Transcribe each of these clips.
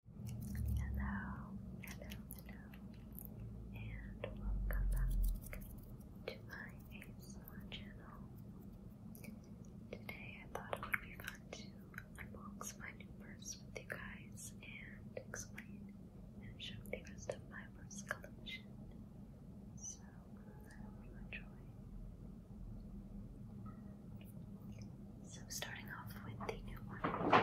Hello, hello, hello, and welcome back to my ASMR channel. Today I thought it would be fun to unbox my new purse with you guys and explain and show the rest of my purse collection. So I hope you enjoy. So, starting off with the new one.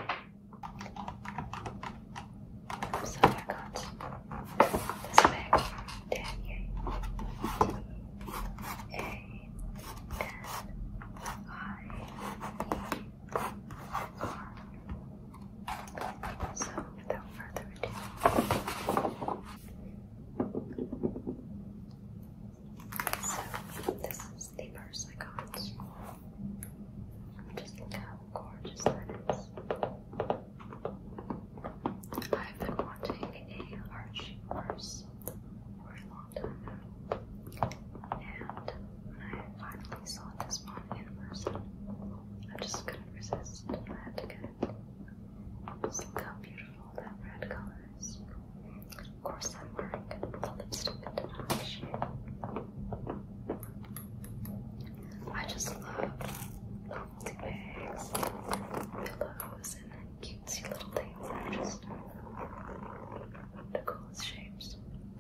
So, I got this bag So, without further ado, so this is the purse I got. Just look how gorgeous that is. I've been wanting a Archie horse for a long time now. And when I finally saw this one in person, I just couldn't resist. I had to get it. Just look how beautiful that red color of course, I'm wearing the lipstick into action. I just love novelty bags, pillows, and cutesy little things that are just the coolest shapes.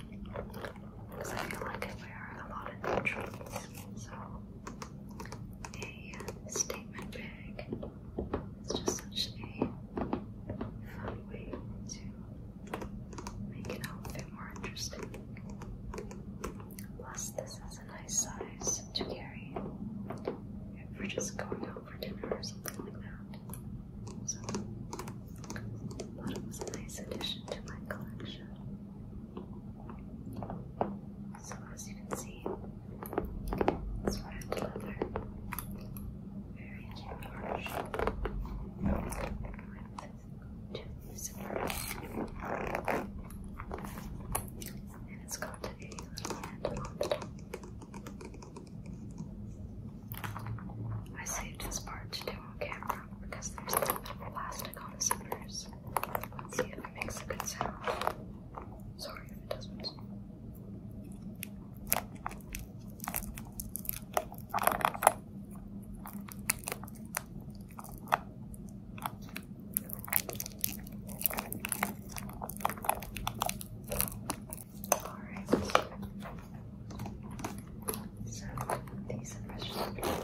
Because I feel like I wear a lot of neutrals, so a statement bag it's just such a fun way to make an outfit more interesting. Plus, this is a nice size to carry if we're just going out for dinner or something like that. So, it was a nice addition to my collection. So, as you can see, it's red leather, very large, with two zippers, and it's got a little handle on the top. I saved this part to do on camera because there's a little bit of plastic on the zippers. Let's see if it makes a good sound. Sorry if it doesn't. Alright. So these are fresh.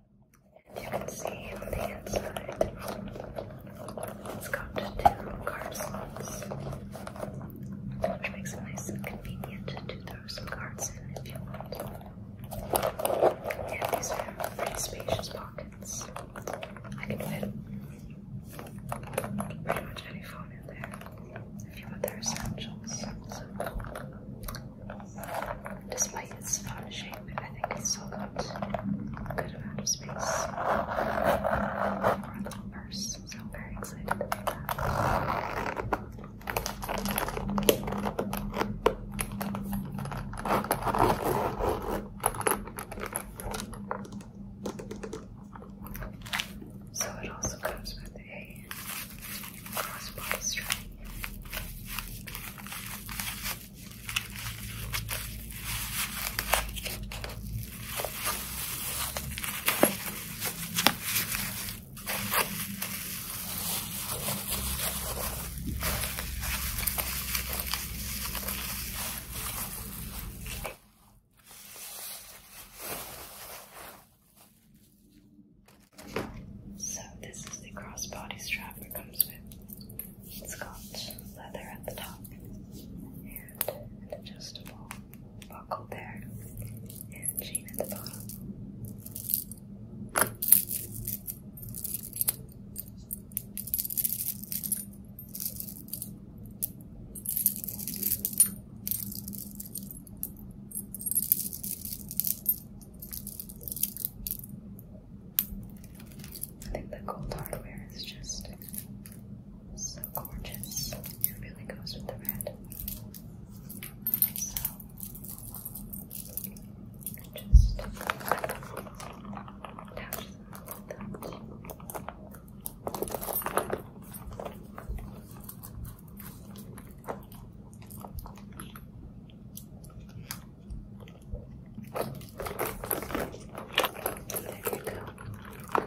you can see on the inside it's got two card slots, which makes it nice and convenient to throw some cards in if you want. And these are pretty spacious pockets. I can fit pretty much any phone in there if you want their essentials. Despite its fun shape, I think it's still got a good amount of space for a purse, so I'm very excited about that. So it also comes with a cross body strap. So this is the crossbody strap it comes with. It's got leather at the top and an adjustable buckle there and chain at the bottom. I think the gold hardware is just so gorgeous. It really goes with the red. So just attach that. There you go.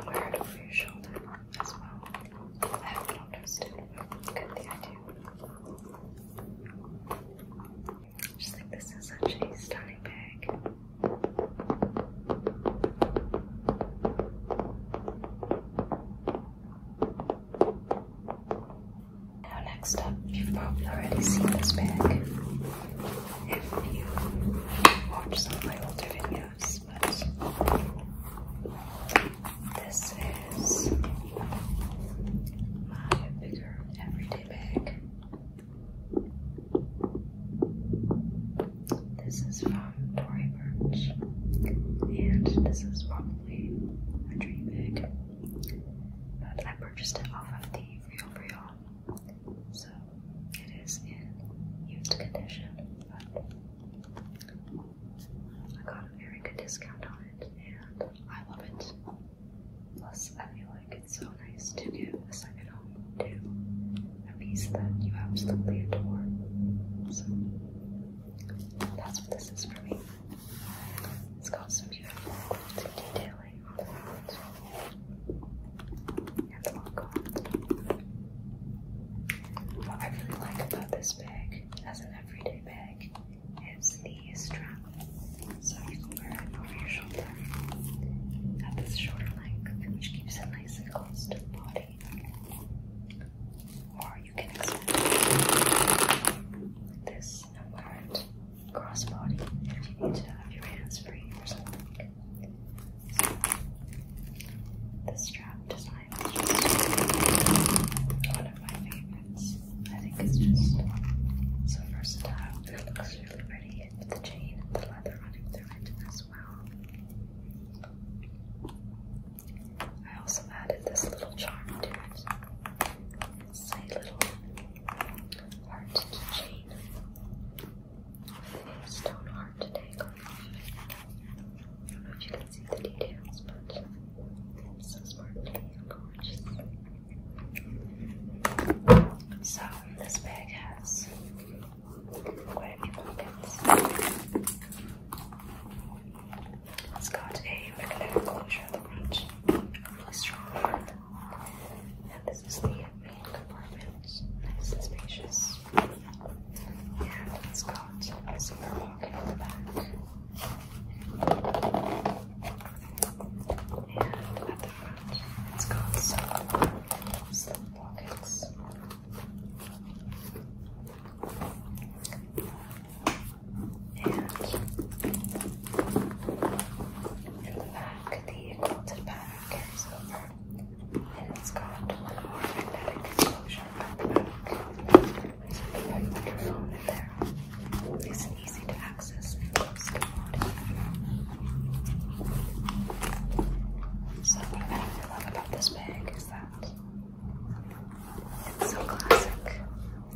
Wear it over your shoulder as well. I have noticed it. Good the idea. Just think this is such a stunning bag. Now, next up, you've probably already seen this bag if you watch some of my older videos, but this is my bigger everyday bag. This is from Tory Burch, and this is from a dream bag. But I purchased it off of the Real Real, so it is in used condition. But I got a very good discount on it, and I love it. Plus, I feel like it's so nice to give a second home to a piece that you absolutely adore. So, that's what this is for me. It's got some beautiful quilted detailing on the front and the logo. What I really like about this bag as an everyday bag is the strap. So you can wear it over your shoulder at this shoulder length, which keeps it nice and close to the body or you can extend this apart crossbody into your hands free or something. the strap design is one of my favorites. I think it's just so versatile. It looks really pretty with the chain and the leather running through it as well. I also added this little charm to it. a little heart keychain stone heart dangle. I don't know if you can see the details, but it's so sparkly and gorgeous. So this bag has quite a few pockets. It's got a magnetic closure at the front, really strong. And this is the main compartment, nice and spacious. And it's got a zipper pocket at the back. And at the front, it's got some slip pockets. And the back, the quilted pattern And it's got one more magnetic enclosure at there. Nice easy to access and close to the body. I love about this bag that? It's so classic.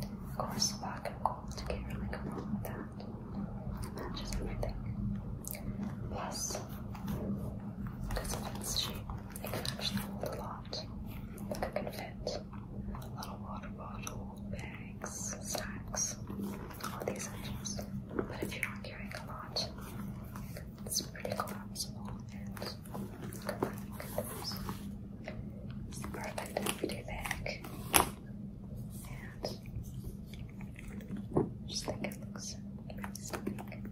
Of course, black and gold, you can't really go wrong with that. Matches everything. Plus, because of its shape, it can actually hold a lot. it can fit a little water bottle, bags, snacks, all these things. But if you're not carrying a lot, it's pretty collapsible and perfect everyday bag. And just think it looks amazing.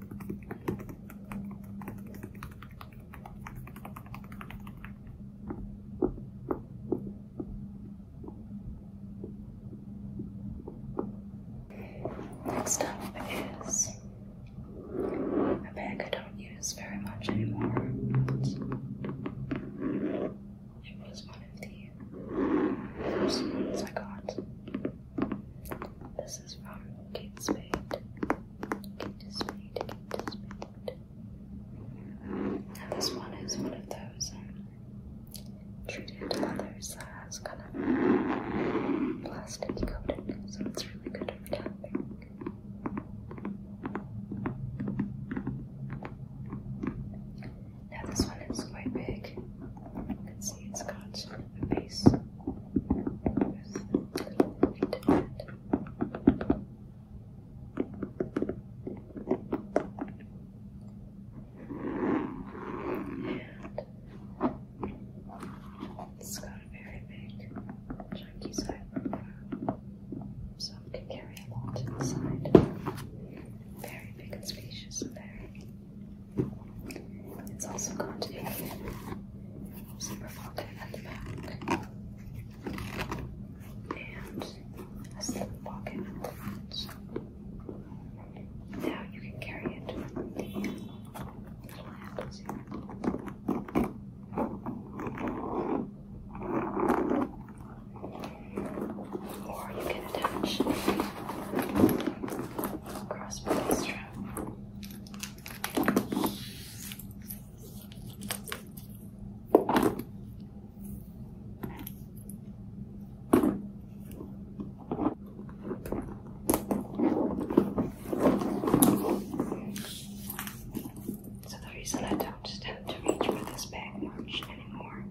Next up is a bag I don't use very much anymore. it was one of the first ones I got. This is from Kate Spade. Kate Spade, Kate Spade. And this one is one of those um, treated others has kind of plastic coated, so it's really good for tapping. Now this one is quite big. You can see it's got a base with a little point in it. It's got a very big, chunky side profile, so it can carry a lot inside. Very big and spacious and very. It's also got a zipper pocket at the back and a slip pocket at the front. Now you can carry it Or you can attach a crossbody strap. So the reason I don't tend to reach for this bag much anymore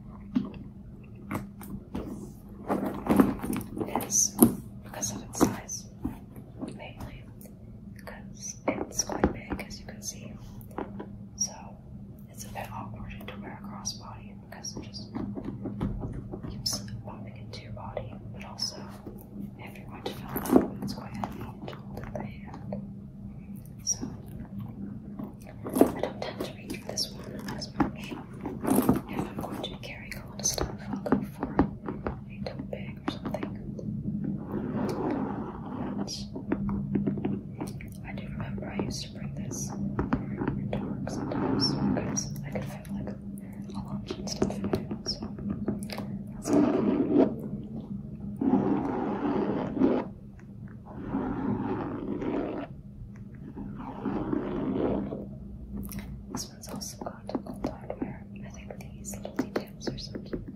is because of its size, mainly because it's quite big as you can see. So it's a bit awkward to wear a crossbody because it just keeps popping into your body, but also if you're going to feel that up, it's quite heavy to hold in So I don't tend to read for this one as much. If I'm going to be a lot of stuff, I'll go for a tote bag or something. I do remember I used to bring this to work sometimes because I could fit like a lunch and stuff in it. This one's also got old hardware. I think these little details are so cute.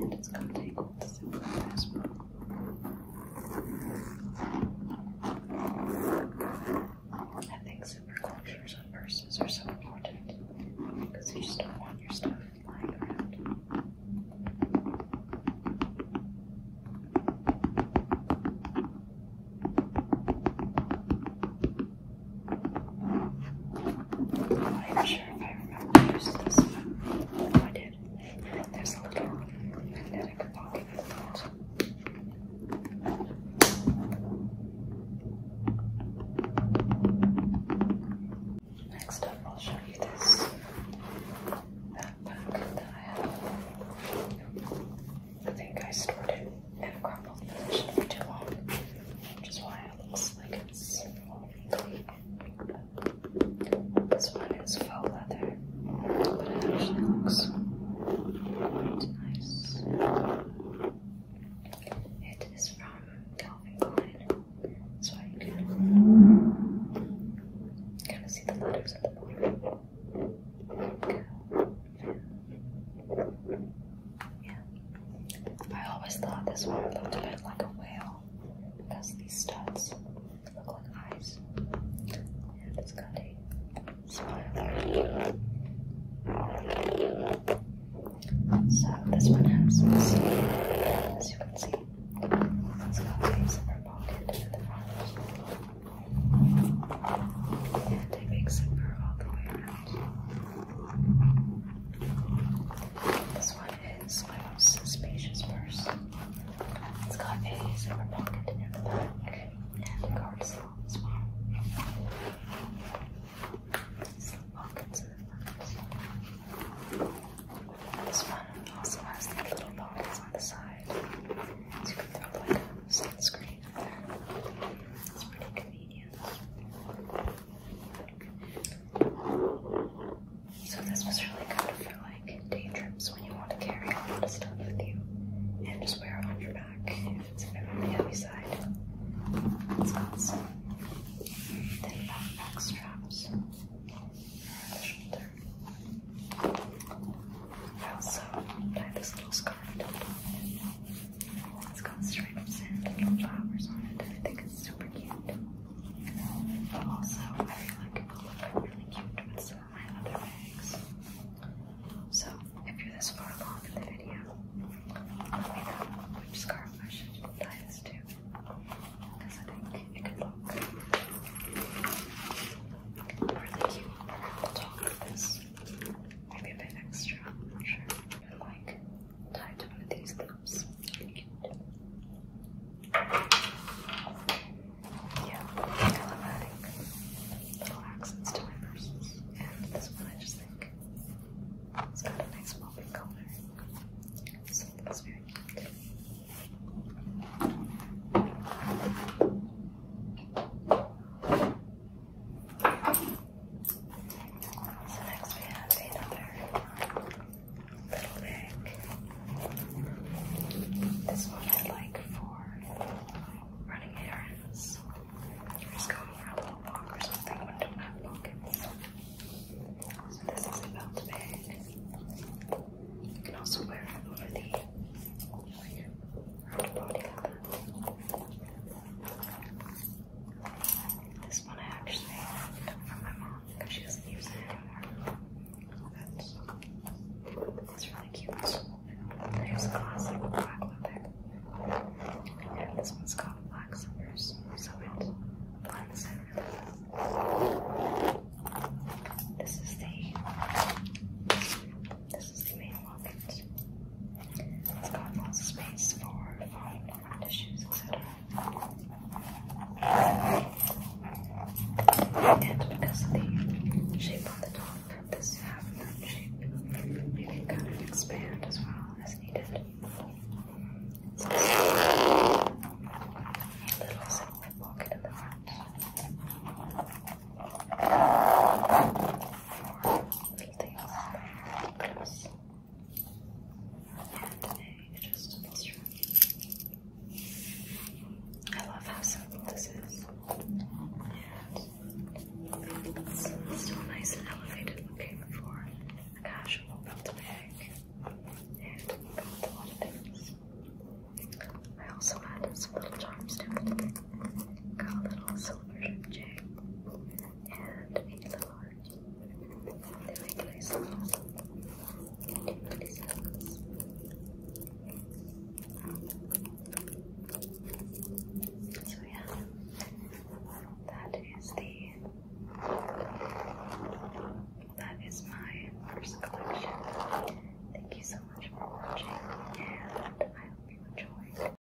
And it's got tangled silver as well. I think supercultures on purses are so important because you just don't want your stuff lying around. I'm sure if I remember to use this I did. There's a little magnetic pocket in it. Next up, I'll show you this backpack that I think I stored it in a crumpled position for too long, which is why it looks like it's this one is faux leather, but it actually looks quite nice. It is from Calvin Klein, so you can kind of see the letters at the bottom. Yeah. I always thought this one looked a bit like a whale because these studs look like eyes. And it's got a smile. So this one has some as you can see. It's got waves in at the front. And a big zipper all the way around. This one it's my most spacious purse. It's got a zipper pocket in the back and card slot as well. Slip pockets in the front. This one also has little pockets on the side, so you can throw like sunscreen in there. It's pretty convenient. So this was really good for like day trips when you want to carry a lot of stuff with you and just wear it on your back if it's a bit on the heavy side. It's got some thin backpack straps around I also tied this little scarf to the top. It's got stripes and little flowers on it and I think it's super cute. But also, I feel like it will look really cute with some of my other bags. So, if you're this far along in the video, let me know which scarf I should tie this too, Because I think it could look really cute on top of this. Maybe a bit extra, I'm not sure like tied to one of these loops. Yeah, I love adding little accents to my purses. And this one I just think it's got a nice popping color. So that's very cute. So next we have another um, little bag. This one I like for running errands. Just going for a little walk or something when I don't have pockets. this is a belt bag. You can also wear it over the round body this one I actually got from my mom because she doesn't use it anymore. That's, really cute. It is a classic black leather. And this one's called Black Slippers, so it blends in This is the this is the main locket. It's got lots of space for phone issues, etc. And because of the shape of the top, this half-moon shape, you can kind of expand as well as needed. little zipper pocket in the front. I love how simple this is. it's still nice and elevated looking for a casual belt bag. I also added some little charms to it. Got a little silver chain and in the heart. They make myself seconds. So yeah, that is the that is my first collection. Thank you so much for watching, and I hope you enjoy.